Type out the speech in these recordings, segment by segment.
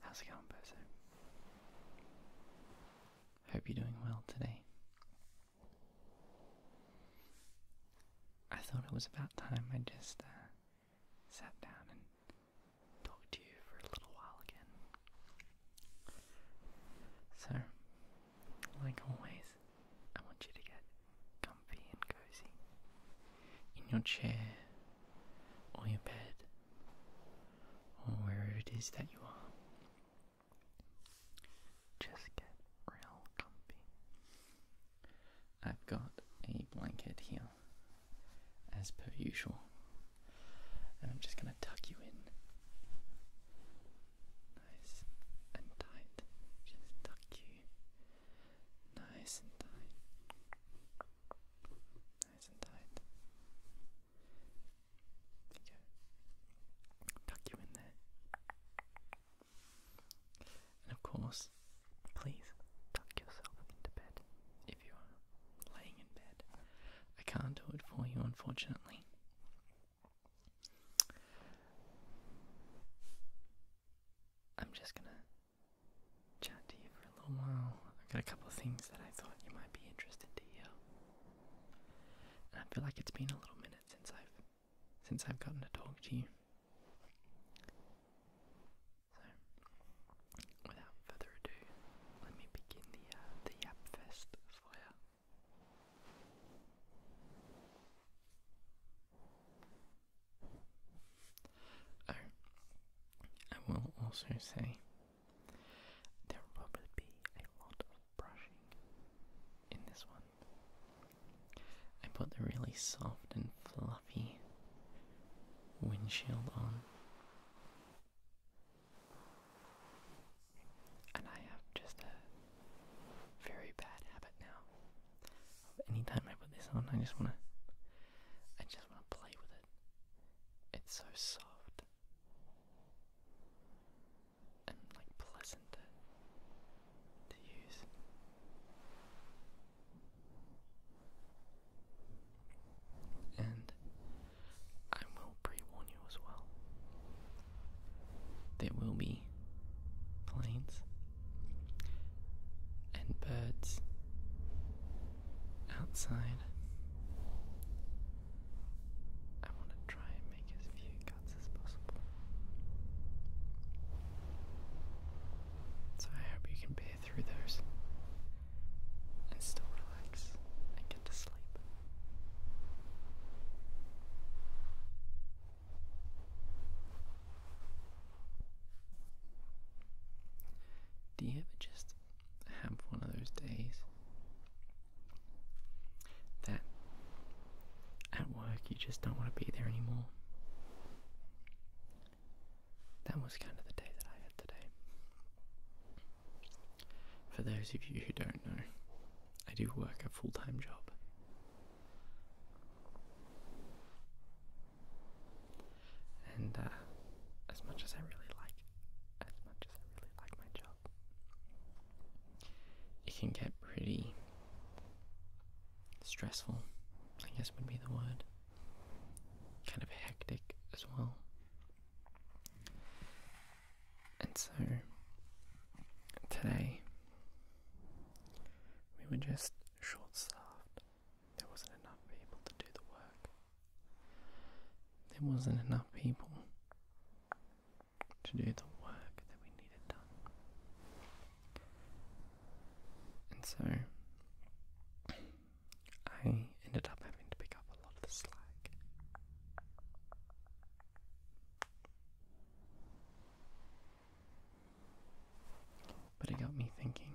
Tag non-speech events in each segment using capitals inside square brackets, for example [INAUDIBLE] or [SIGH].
How's it going, Bozo? Hope you're doing well today. I thought it was about time I just uh, sat down and talked to you for a little while again. So, like always, I want you to get comfy and cozy in your chair or your bed or wherever it is that you are. Just get real comfy. I've got a blanket here, as per usual, and I'm just going to tuck you in. Nice and tight. Just tuck you. Nice and tight. Nice and tight. Tuck you in there. And of course, please tuck yourself into bed if you are laying in bed. I can't do it for you, unfortunately. I'm just gonna chat to you for a little while. I've got a couple of things that I thought you might be interested in. hear. I feel like it's been a little minute since I've since I've gotten to talk to you. So, without further ado, let me begin the, uh, the Yapfest flyer. Oh, I will also say there will probably be a lot of brushing in this one. I put the really soft and fluffy windshield on. And I have just a very bad habit now. Anytime I put this on, I just wanna, I just wanna play with it. It's so soft and like pleasant to use. And I will pre you as well. There will be planes and birds outside. I want to try and make as few cuts as possible. So I hope you can bear through those and still relax and get to sleep. Do you ever just have one of those days that at work you just don't want to be there anymore? that was kind of the day that I had today. For those of you who don't know, I do work a full time job. And uh, as much as I really like, as much as I really like my job, it can get pretty stressful, I guess would be the word kind of hectic as well. And so today we were just short staffed. There wasn't enough people to do the work. There wasn't enough people to do the work that we needed done. And so I ended up having to pick up a lot of the slack. But it got me thinking.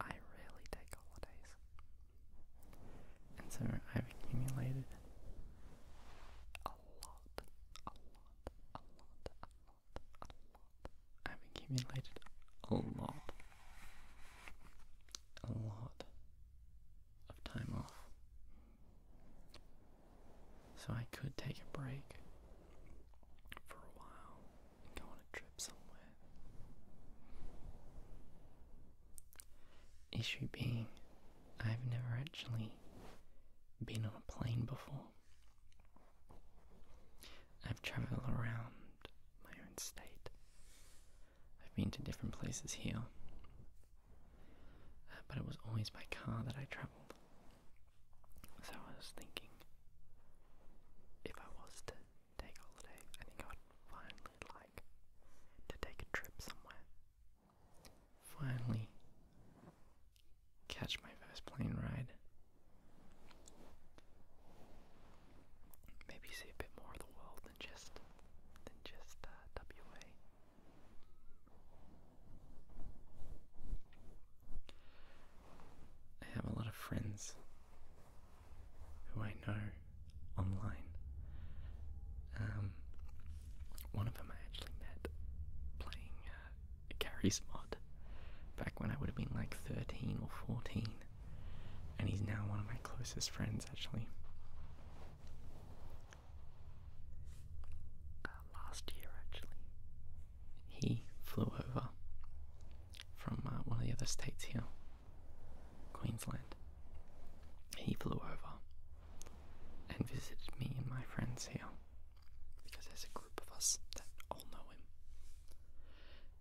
I rarely take holidays. And so I've accumulated a lot, a lot, a lot, a lot I've accumulated a lot, a lot of time off. So I could take a break for a while and go on a trip somewhere. Issue being, I've never actually been on a plane before. I've traveled around my own state. I've been to different places here. Uh, but it was always by car that I travelled. So I was thinking if I was to take a holiday, I think I would finally like to take a trip somewhere. Finally catch my first plane ride. Maybe see a bit more of the world than just than just uh, WA. I have a lot of friends who I know online. Um, one of them I actually met playing uh, Gary's mod back when I would have been like 13 or 14, and he's now one of my closest friends actually. Uh, last year, actually, he flew over from uh, one of the other states here, Queensland. He flew over and visited me and my friends here because there's a group of us that all know him.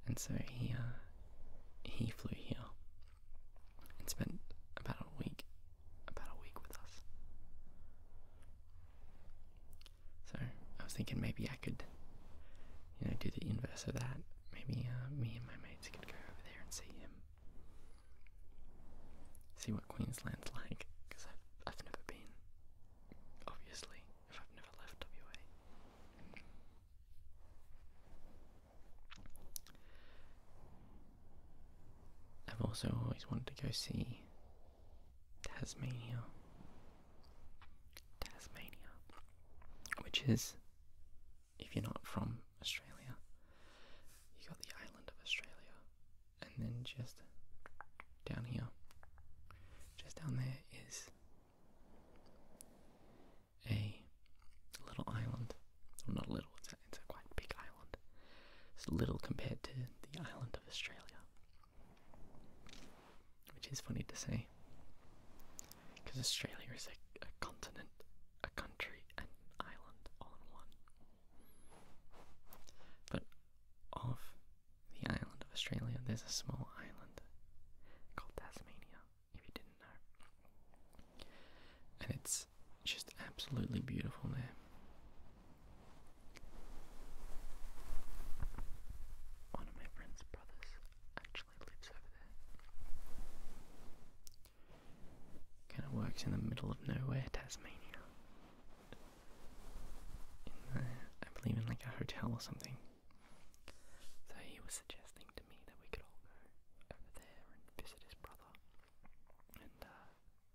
And so he uh, he flew here and spent about a week about a week with us. So I was thinking maybe I could you know do the inverse of that. Maybe uh, me and my mates could go over there and see him. See what Queensland's like, because I've, I've never been. Obviously, if I've never left WA. I've also always wanted to go see Tasmania. Tasmania. Which is, if you're not from Australia, you got the island of Australia, and then just down here, just down there is a little island. not a little, it's a, quite big island. It's little compared to the island of Australia. Which is funny to say, because Australia is a, continent, a country, and an island all in one. But off the island of Australia, there's a small island called Tasmania, if you didn't know. And it's just absolutely beautiful there. One of my friend's brothers actually lives over there. Kind of works in the middle of nowhere, Tasmania. I believe in like a hotel or something. So he was suggesting to me that we could all go over there and visit his brother and uh,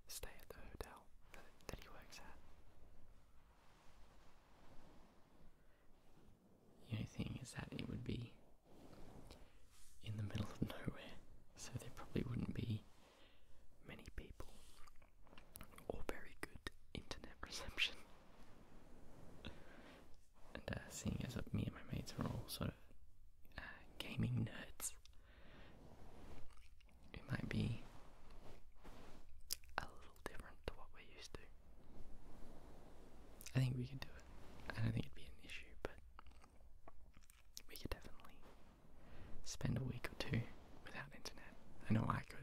stay at the hotel that he works at. The only thing is that it would be in the middle of nowhere, so there probably wouldn't be many people all very good internet reception. and uh, seeing as me and my mates are all sort of uh, gaming nerds, it might be a little different to what we're used to. I think we can do it. I don't think it'd be an issue, but we could definitely spend a week or two without internet. I know I could.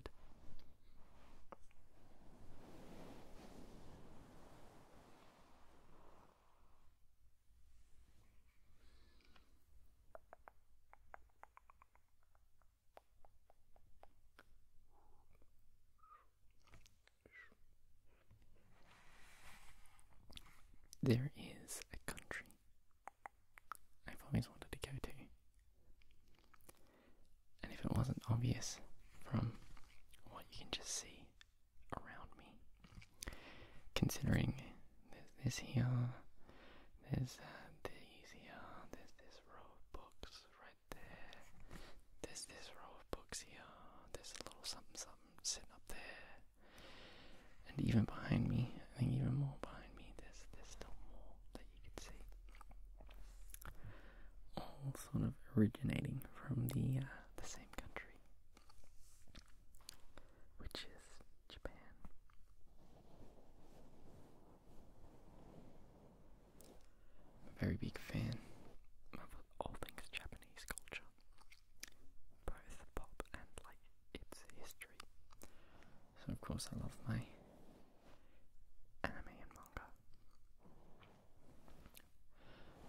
There is a country I've always wanted to go to. And if it wasn't obvious from what you can just see around me, considering there's this here, there's uh, these here, there's this row of books right there, there's this row of books here, there's a little something something sitting up there, and even behind me, I think even more behind me, there's, there's still more that you could see. All sort of originating from the, uh, the same country, which is Japan. I'm a very big fan of all things Japanese culture, both pop and like its history. So of course I love my anime and manga.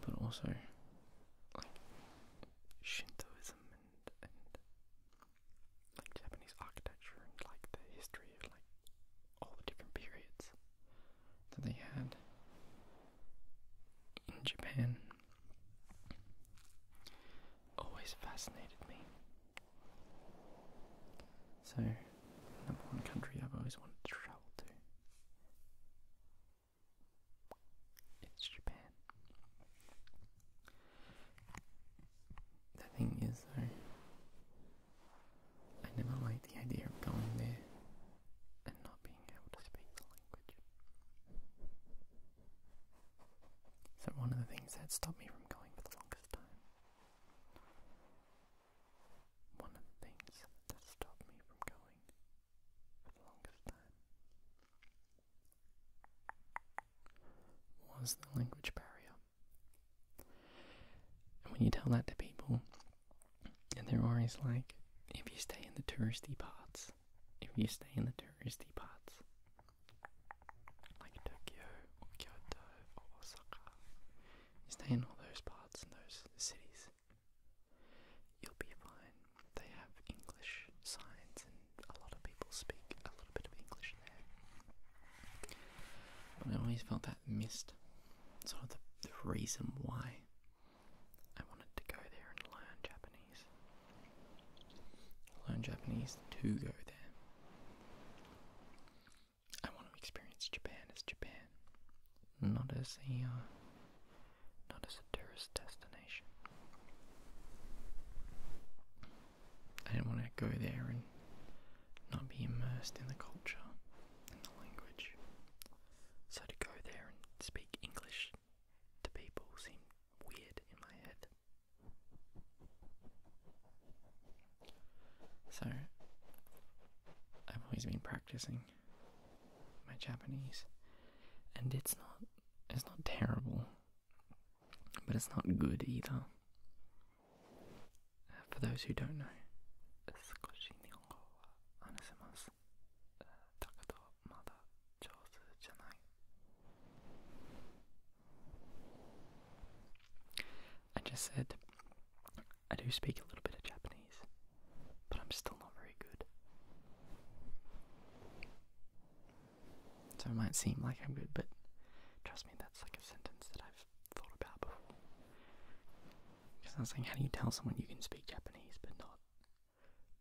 But also like Shintoism and Japanese architecture and like the history of like all the different periods that they had in Japan always fascinated me. So, number one country I've always wanted to travel to. It's Japan. The thing is, though, I never liked the idea of going there and not being able to speak the language. So one of the things that stopped me from going for the longest time. One of the things that stopped me from going for the longest time was the language barrier. And when you tell that to people, and they're always like, if you stay in the touristy parts, if you stay in the touristy parts, like Tokyo or Kyoto or Osaka. stay in all those parts and those cities, you'll be fine. They have English signs, and a lot of people speak a little bit of English there. I always felt that missed sort of the, the reason why I wanted to go there and learn Japanese. Learn Japanese to go there. I want to experience Japan as Japan, not as a uh, not as a tourist destination. I do not want to go there and not be immersed in the culture and the language. So to go there and speak English to people seemed weird in my head. So, I've always been practicing my Japanese, and it's not it's not terrible, but it's not good either. for those who don't know, 上手じゃない I just said I do speak a little bit of Japanese, but I'm still not very good. So it might seem like I'm good, but trust me, that's like a sentence that I've thought about before. Because I was like, how do you tell someone you can speak Japanese but not,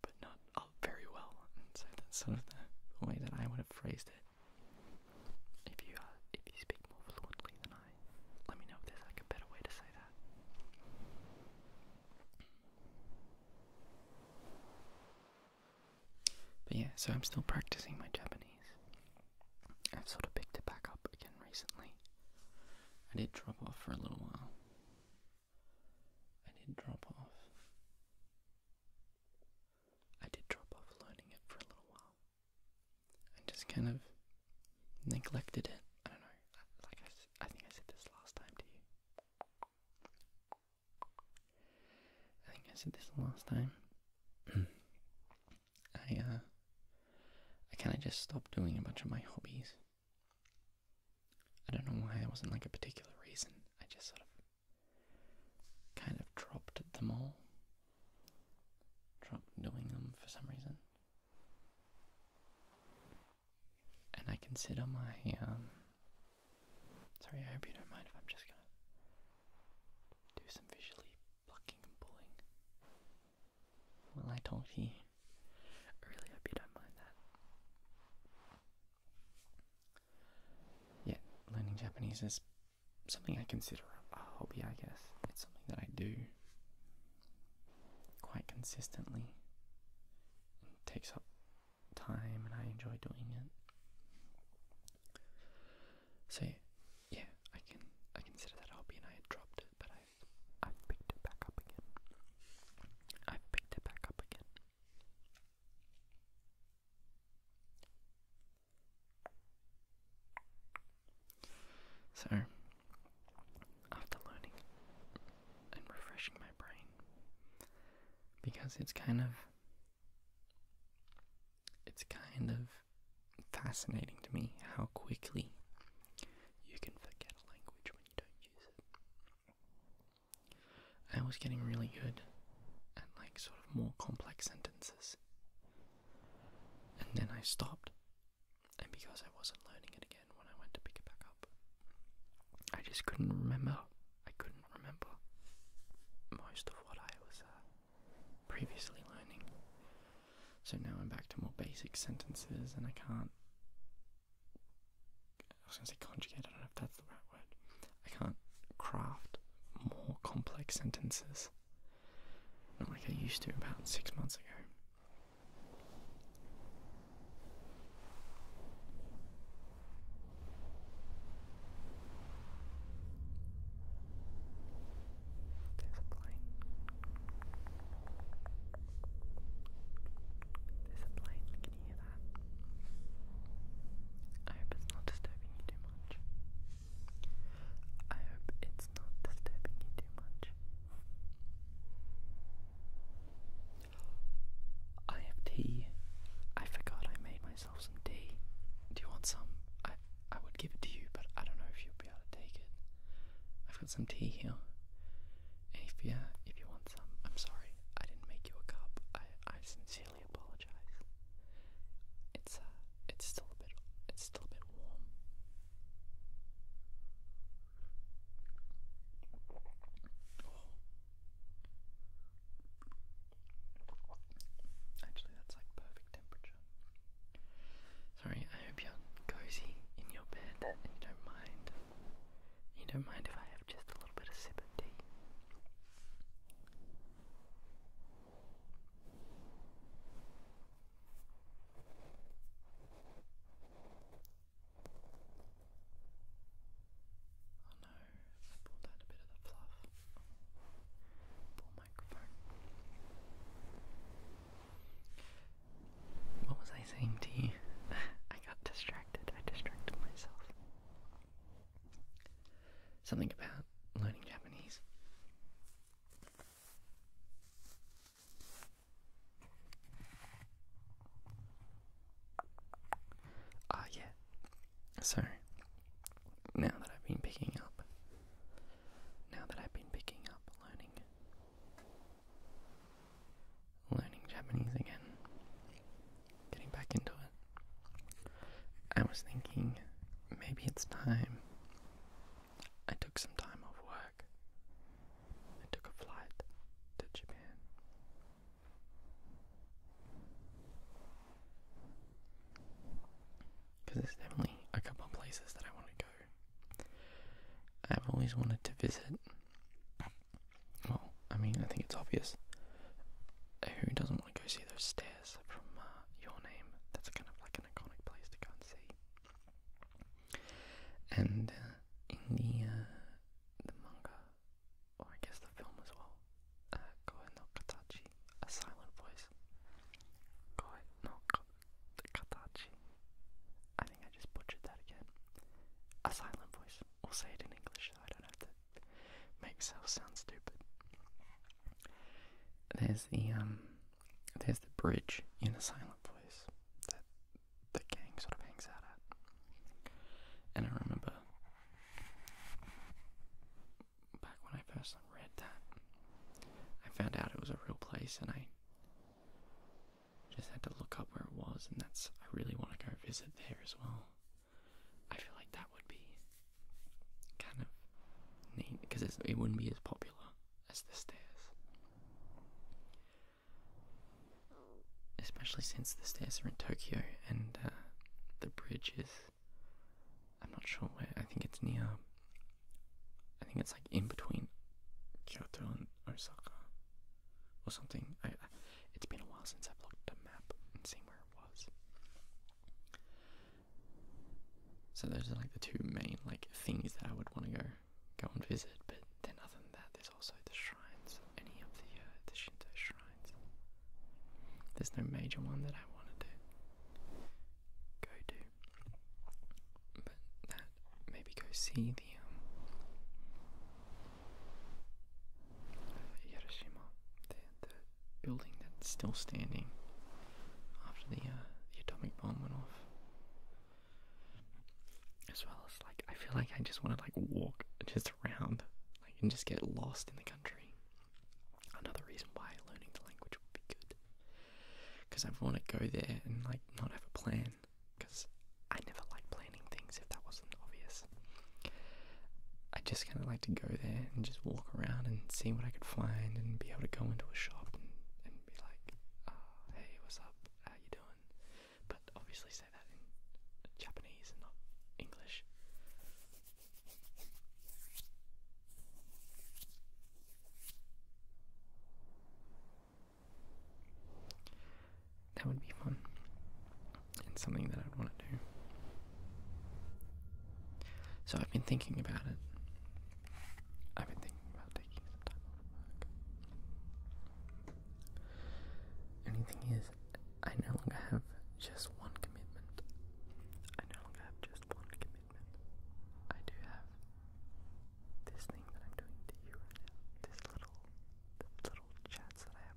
but not up very well, so that's sort of the, way that I would have phrased it. If you uh, if you speak more fluently than I, let me know if there's like a better way to say that. But yeah, so I'm still practicing my Japanese. I've sort of picked it back up again recently. I did drop off for a little while. I did drop off I did drop off learning it for a little while. And just kind of neglected it. I don't know. Like I, I think I said this last time to you. I think I said this last time. [CLEARS THROAT] I uh, I kind of just stopped doing a bunch of my hobbies. I don't know why. It wasn't like a particular reason. I just sort of kind of dropped them all. Dropped doing them for some reason. And I consider my, um, sorry, I hope you don't mind if I'm just gonna do some visually plucking and pulling while I talk to you. really hope you don't mind that. Yeah, learning Japanese is something I consider a hobby, I guess. It's something that I do quite consistently. It takes up time and I enjoy doing it. So, yeah, I can I consider that a hobby and I had dropped it, but i I've picked it back up again. I've picked it back up again. So, after learning and refreshing my brain, because it's kind of it's kind of fascinating to me how quickly you can forget a language when you don't use it. I was getting really good at like sort of more complex sentences. And then I stopped. And because I wasn't learning it again when I went to pick it back up, I just couldn't remember. I couldn't remember most of what I was uh, previously learning. So now I'm back to more basic sentences and I can't I was going to say conjugate, I don't know if that's the right word. I can't craft more complex sentences. Not like I used to about six months ago. There's a I hope it's not disturbing you too much. I hope it's not disturbing you too much. I have tea. I forgot I made myself some tea. Do you want some? I I would give it to you, but I don't know if you'll be able to take it. I've got some tea here. If yeah, if you want some, I'm sorry. I didn't make you a cup. I I sincerely apologize. It's uh, it's still a bit, it's still a bit warm. Actually, that's like perfect temperature. Sorry, I hope you're cozy in your bed you don't mind. You don't mind if I just a little bit of sip tea. Oh no, I pulled out a bit of the fluff. Poor microphone. What was I saying to you? [LAUGHS] I got distracted. I distracted myself. Something about learning Japanese. Ah, yeah. So, now that I've been picking up, now that I've been picking up learning learning Japanese again, getting back into it. I was thinking maybe it's time. I took some time off work. I took a flight to Japan. Because there's definitely a couple of places that I want to go. I've always wanted to visit well, I mean, I think it's obvious. Uh, who doesn't want to go see those stairs from uh, your name? That's kind of like an iconic place to go and see. And uh, in the the manga, or I guess the film as well, uh, Koe no Katachi, a silent voice. Koe Katachi. I think I just butchered that again. A silent voice. We'll say it in English so I don't have to Makes self sound stupid. There's the um there's the bridge in a silent place that the gang sort of hangs out at. And I remember back when I first read that, I found out it was a real place and I just had to look up where it was and that's I really want to go visit there as well. I feel like that would be kind of neat because it wouldn't be as popular as the stairs. Especially since the stairs are in Tokyo and uh, the bridge is. I'm not sure where. I think it's near. I think it's like in between Kyoto and Osaka or something. It's been a while since I've looked at a map and seen where it was. So those are like the two main like things that I would want to go go and visit. But then other than that, there's also the shrines. Any of the uh, the Shinto shrines. There's no major one that I want to do. Go to, but that maybe go see the um, Hiroshima, the, building that's still standing after uh, the, atomic bomb went off. As well as, like, I feel like I just want to, like, walk just around, like, and just get lost in the country. Another reason why learning the language would be good. Because I want to go there and, like, not have a plan. Because I never liked planning things if that wasn't obvious. I just kind of like to go there and just walk around and see what I could find and be able to go into a shop and, and be like, ah, hey, what's up? How you doing? But obviously say that in Japanese and not English. That would be fun. and something that I'd want to do. So I've been thinking about it. I've been thinking about taking some time off work. Only is, I no longer have just one commitment. I no longer have just one commitment. I do have this thing that I'm doing to you right now. This little, the little chats that I have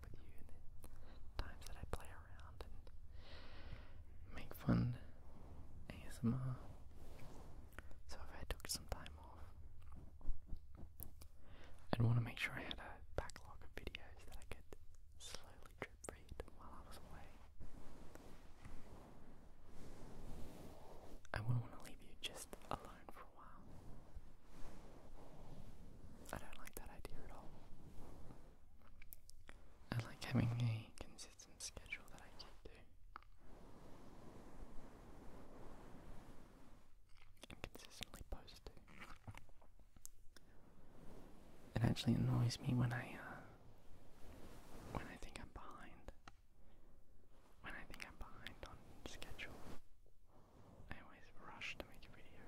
times that I play around and make fun ASMR. So if I took some time off, I'd want to make sure I had a backlog of videos that I could slowly drip read while I was away. I wouldn't want to leave you just alone for while. I don't like that idea at all. I like having a consistent schedule that I can do. And consistently post It actually annoys me when I uh, when I think I'm behind. When I think I'm behind on schedule. I always rush to make a video.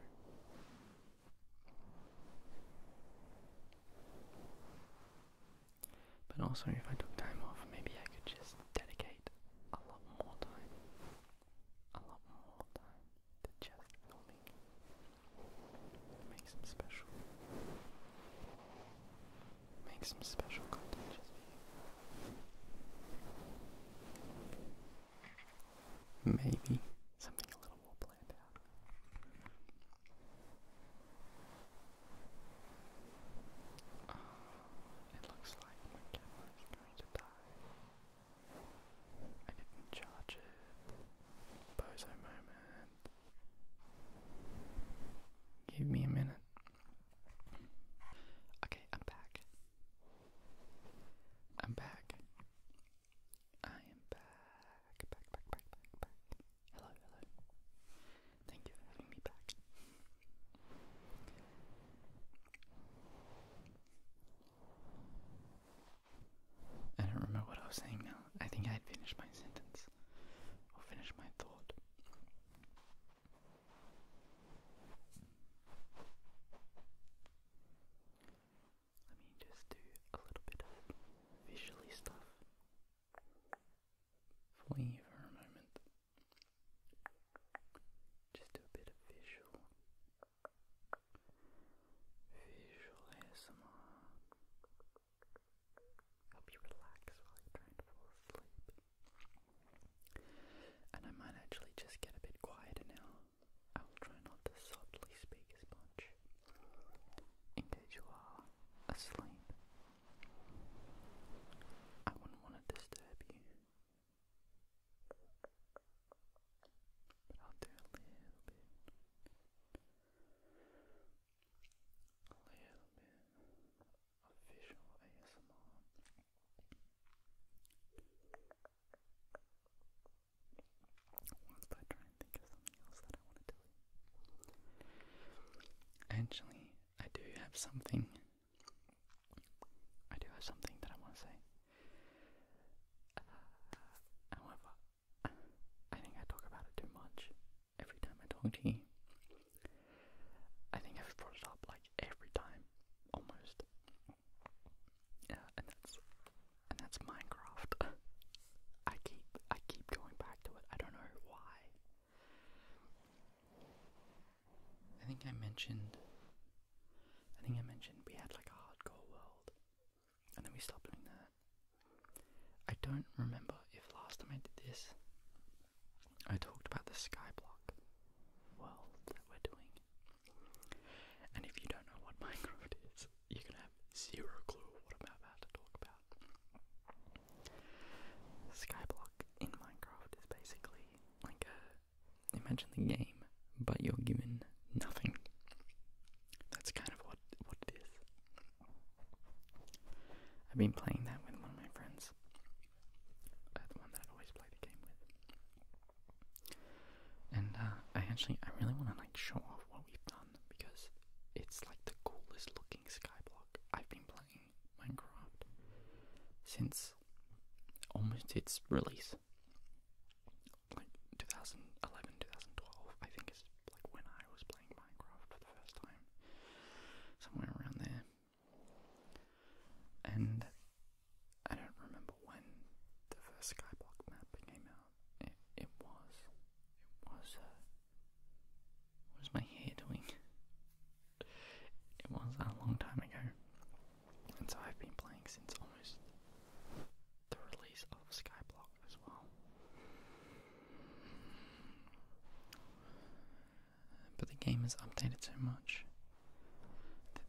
But also, if I took time off, maybe I could just dedicate a lot more time, a lot more time to just filming, make some special, make some special content just for you. Maybe something a little more planned out. Oh, it looks like my camera is going to die. I didn't charge it. Bozo moment. Give me a minute. Okay, I'm back. I'm back. I am back. Hello, hello. Thank you for having me back. I don't remember what I was saying now. I think I had finished my sentence or finished my thought. Let me just do a little bit of visually stuff for you for a moment. Just do a bit of visual. Visual ASMR. Help you relax while you're trying to fall asleep. And I might actually just get a bit quieter now I will try not to softly speak as much in case you are asleep. I wouldn't want to disturb you. But I'll do a little bit. A little bit of ASMR. I Actually, I do have something. I do have something that I want to say. Uh, however, I think I talk about it too much every time I talk to you. I think I've brought it up like every time, almost. Yeah, and that's and that's Minecraft. [LAUGHS] I keep I keep going back to it. I don't know why. I think I mentioned I think I mentioned we had like a hardcore world. And then we stopped doing that. I don't remember if last time I did this I talked about the skyblock world that we're doing. And if you don't know what Minecraft is, you're gonna have zero clue what I'm about to talk about. Skyblock in Minecraft is basically like a imagine the game, but you're given nothing. That's kind of what what it is. I've been playing that with one of my friends. Uh, the one that always play the game with. And uh, I actually, I really want to like show off what we've done because it's like the coolest looking skyblock. I've been playing Minecraft since almost its release, like 2011, 2012. I think is like when I was playing Minecraft for the first time, somewhere around there. And I don't remember when the first Skyblock map came out. It, was, it was, uh, was my hair doing? It was a long time ago, and so I've been playing since almost the release of Skyblock as well. But the game has updated so much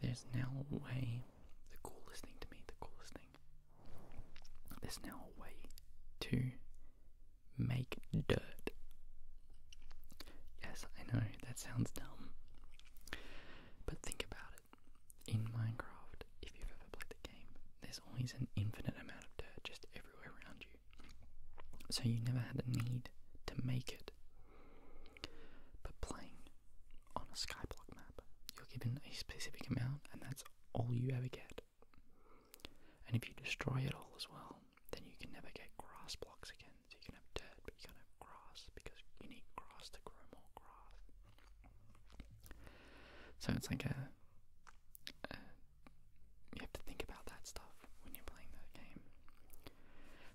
there's now a way. The coolest thing to me, the coolest thing. There's now a way to make dirt. Yes, I know that sounds dumb, but think about it. In Minecraft, if you've ever played the game, there's always an infinite amount of dirt just everywhere around you. So you never had the need to make it. But playing on a skyblock map, you're given a specific amount, and that's all you ever get. And if you destroy it all as well, then you can never get grass blocks again. So you can have dirt, but you can't have grass because you need grass to grow more grass. So it's like a you have to think about that stuff when you're playing that game.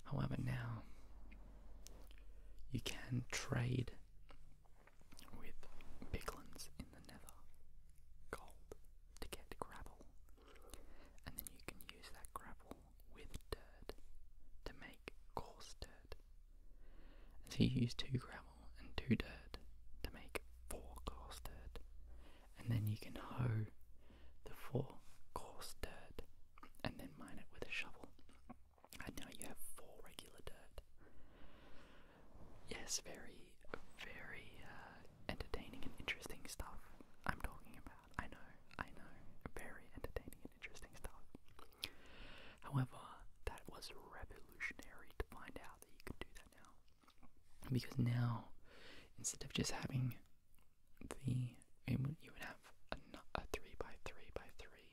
However, now you can trade with piglins in the nether gold to get gravel, and then you can use that gravel with dirt to make coarse dirt. so you use two gravel and two dirt to make four coarse dirt, and then you can hoe the four coarse dirt and then mine it with a shovel. And now you have four regular dirt. Yes, very, very uh, entertaining and interesting stuff I'm talking about. I know, I know. Very entertaining and interesting stuff. However, that was revolutionary to find out that you could do that now. Because now, instead of just having the you would have a, three by three by three.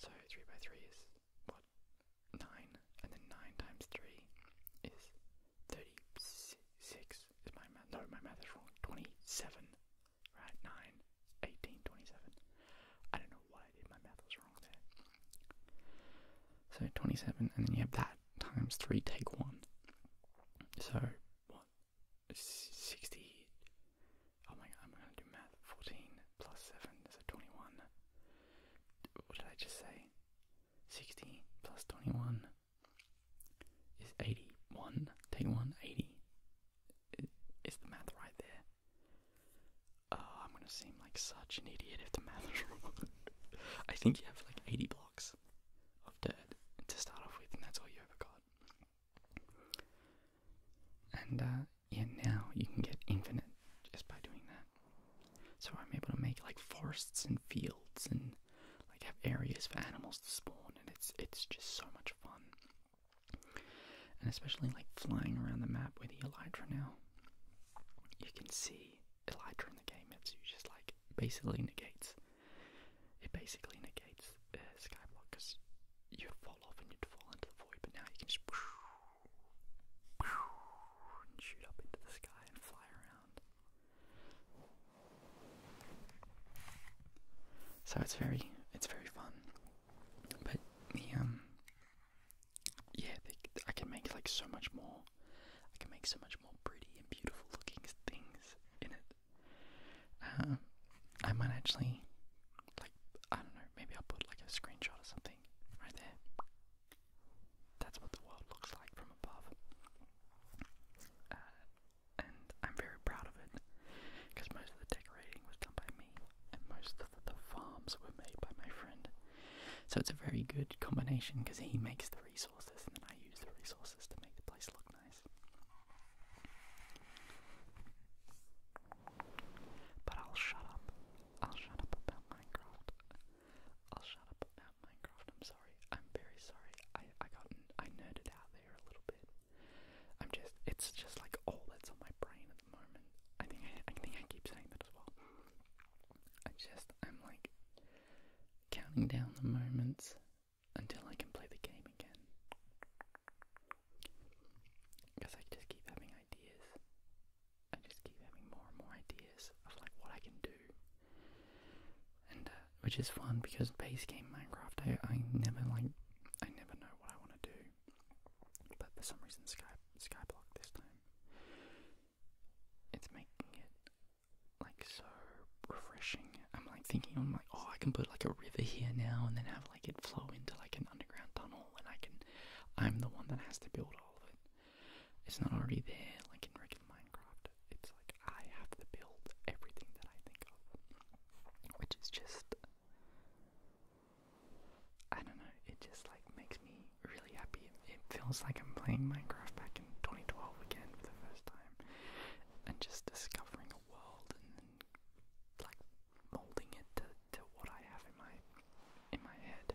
So three by three is what nine, and then nine times three is thirty-six. Is my math? No, my math is wrong. Twenty-seven, right? Nine, I don't know what I did. My math was wrong there. So twenty-seven, and then you have that times three. Take one. So what? 60. Oh my god, I'm gonna do math. 14 plus 7, so 21. What did I just say? 60 plus 21 is 81. Take 1, 80. Is the math right there? Oh, I'm gonna seem like such an idiot if the math is [LAUGHS] wrong. I think you have like 80 blocks of dirt to start off with, and that's all you ever got. And uh, now you can get infinite just by doing that. So I'm able to make like forests and fields and like have areas for animals to spawn, and it's it's just so much fun. And especially like flying around the map with the Elytra now, you can see Elytra in the game. It's just like basically negates it basically negates uh, Skyblock because you'd fall off and you'd fall into the void, but now you can just shoot up into the sky and fly around. So it's very, it's very fun. But um, yeah, I can make like so much more. I can make so much more pretty and beautiful looking things in it. Uh, I might actually, like, I don't know, maybe I'll put like a screenshot or something right there. That's what the world looks like from above. Uh, and I'm very proud of it because most of the decorating was done by me and most of the farms were made by my friend. So it's a very good combination because he makes the resources and then I use the resources to make the place look but I'll shut up. I'll shut up about Minecraft. I'll shut up about Minecraft. I'm sorry. I'm very sorry. I I got I nerded out there a little bit. I'm just it's just like all that's on my brain at the moment. I think I think I keep saying that as well. I just I'm like counting down the moments until I can play the game again. Because I just keep having ideas. I just keep having more and more ideas of like what I can do. And uh, which is fun because base game Minecraft, I, I never like, I never know what I want to do. But for some reason, Sky Skyblock this time, it's making it like so refreshing I'm like thinking, I'm like, oh, I can put like a river here now and then have like it flow into like an underground tunnel and I can, I'm the one that has to build all of it. It's not already there like in regular Minecraft. It's like I have to build everything that I think of, which is just, I don't know, it just like makes me really happy. It feels like I'm playing Minecraft back in 2012 again for the first time and just discovering a world and then, like molding it to, to what I have in my in my head.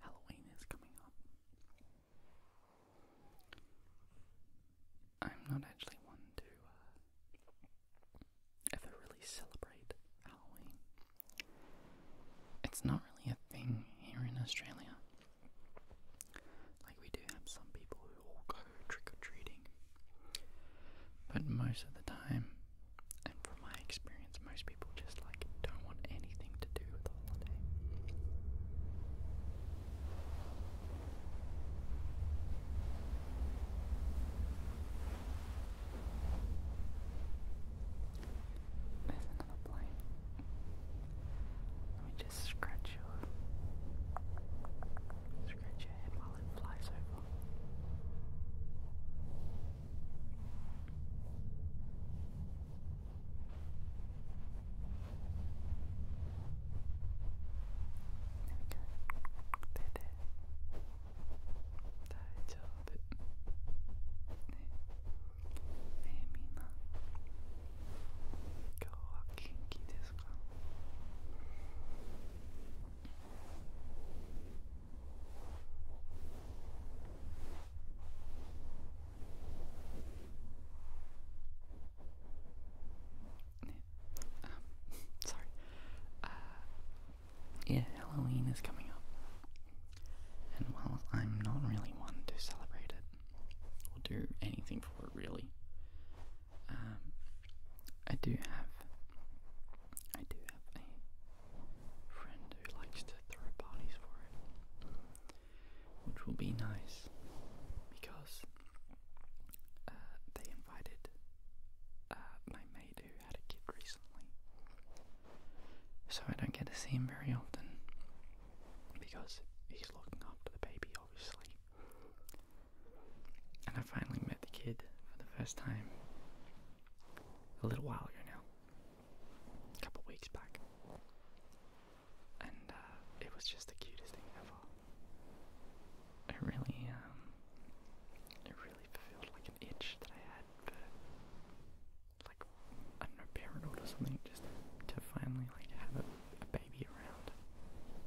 Halloween is coming up. I'm not actually one to uh, ever really celebrate Halloween. It's not really a thing here in Australia. Like, we do have some people who all go trick or treating, but most of the time, and from my experience, most people just like don't want anything to do with the holiday. There's another plane. Let me just scratch your scratch your head while it flies over. 手大丈夫ねねえみんな今日は元気ですか Um, [LAUGHS] sorry. Uh, yeah, Halloween is coming up. And while I'm not really one to celebrate it or do anything for it, really, um, I do have, I do have a friend who likes to throw parties for it, which will be nice because uh, they invited uh, my mate who had a kid recently, so I don't get to see him very often because he's looking after the baby, obviously. And I finally met the kid for the first time, a little while ago now, a couple weeks back, and uh, it was just the cutest thing ever. It really, um, it really fulfilled like an itch that I had for, like, I don't know, parenthood or something, just to finally like have a baby around.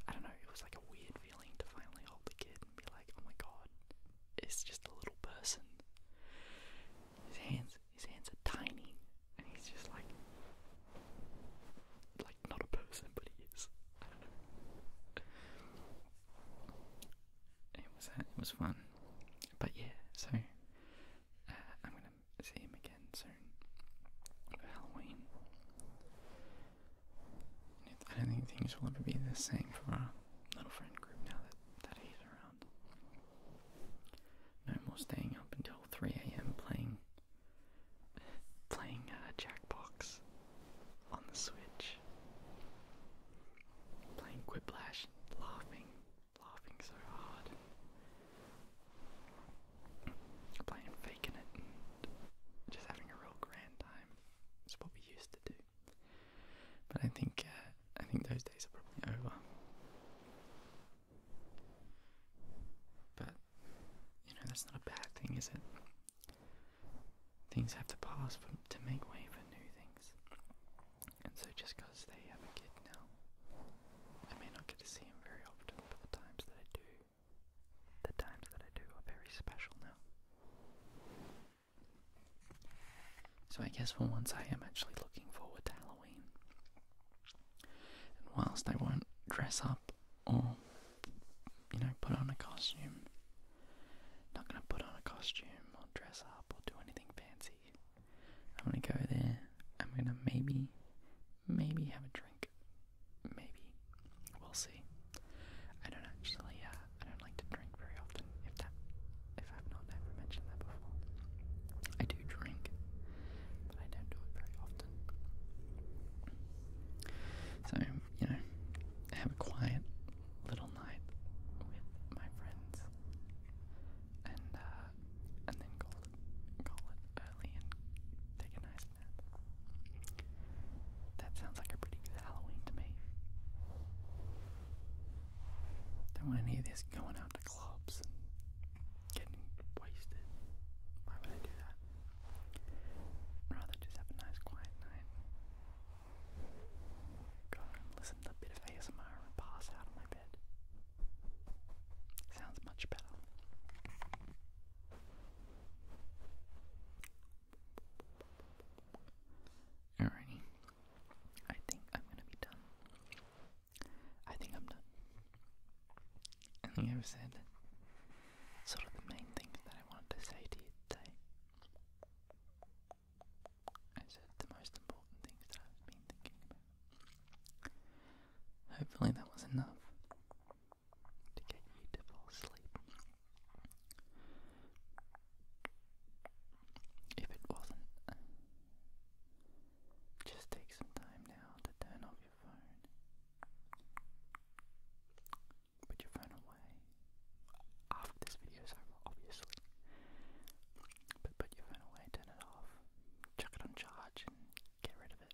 I don't know, it was like a weird feeling to finally hold the kid and be like, oh my god, it's just a little person. His hands, his hands are tiny, and he's just like, like not a person, but he is. I don't know. It was uh, it was fun, but yeah. So uh, I'm gonna see him again soon Halloween. I don't think things will ever be the same for us little friend group now that, that he's around. No more staying up until 3 a.m. playing playing a uh, Jackbox on the Switch. Playing Quiplash, laughing, laughing so hard. Playing faking it just having a real grand time. It's what we used to do. But I think uh, I think those days are probably over. But you know that's not a bad thing, is it? Things have to pass to make way for new things. And so just because they have a kid now, I may not get to see him very often, but the times that I do, the times that I do are very special now. So I guess for once I am actually looking forward to Halloween. And whilst I won't dress up or, you know, put on a costume, not gonna put on a costume or dress up or do anything fancy. I'm gonna go there. I'm gonna maybe, maybe have a drink. Maybe. We'll see. I don't actually, uh, I don't like to drink very often, if that, if I've not ever mentioned that before. I do drink, but I don't do it very often. So, you know, have a quiet little night with my friends and, uh, and then call it, call it early and take a nice nap. That sounds like a pretty good Halloween to me. Don't want any of this going out to clubs getting wasted. Why would I do that? rather just have a nice quiet night. Go and listen to a bit of ASMR and pass out of my bed. Sounds much better. Alrighty. I think I'm gonna be done. I think I'm done. I think I've said sort of the main things that I wanted to say to you today. I said the most important things that I've been thinking about. Hopefully that was enough to get you to fall asleep. If it wasn't, uh, just take some time now to turn off your phone. Put your phone away. After this video is over, obviously. But put your phone away, turn it off, chuck it on charge, get rid of it.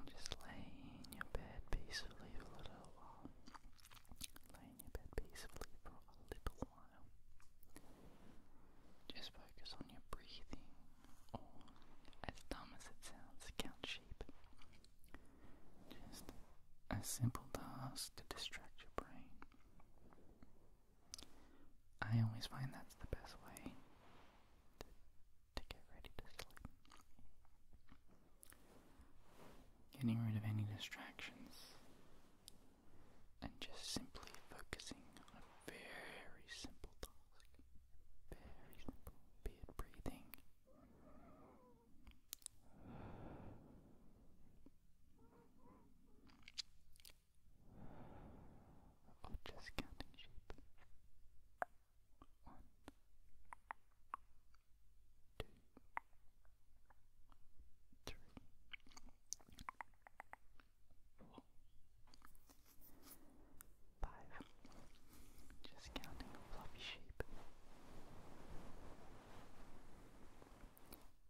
And just lay in your bed peacefully for a little while laying in bed peacefully for a little while. Just focus on your breathing, as dumb as it sounds, count sheep. Just a simple task to distract your brain. I always find that's the best way to get ready to sleep. Getting rid of any distractions and just simply focusing on a very simple task. Very simple, be it breathing. Or just counting sheep. One, two, three, four, five. Just counting a fluffy sheep.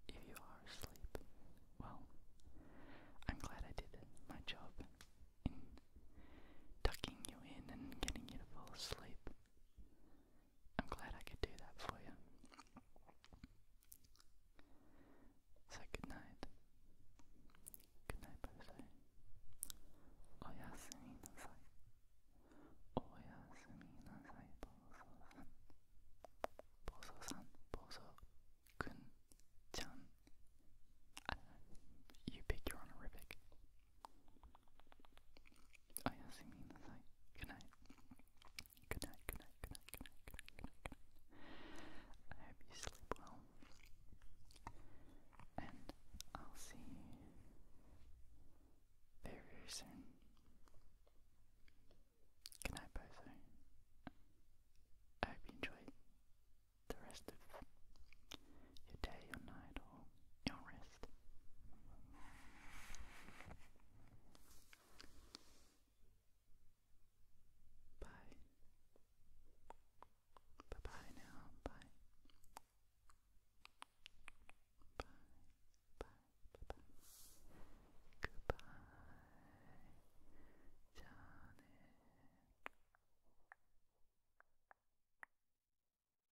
If you are asleep, well, I'm glad I did my job in tucking you in and getting you to fall asleep. I'm glad I could do that for you. So good night. Good night, Bose. Oyasunminasai. Oyasunminasai, bozo san You pick your honorific. おやすみなさい。Good night. Good night, good night, good night, good night, good night, good night, good night. I hope you sleep well. And I'll see you very, soon. Good night, Bozo. I hope you enjoyed the rest of your day, your night, or your rest. Bye. Bye bye now. Bye. Bye. Bye. Bye Goodbye. Johnny.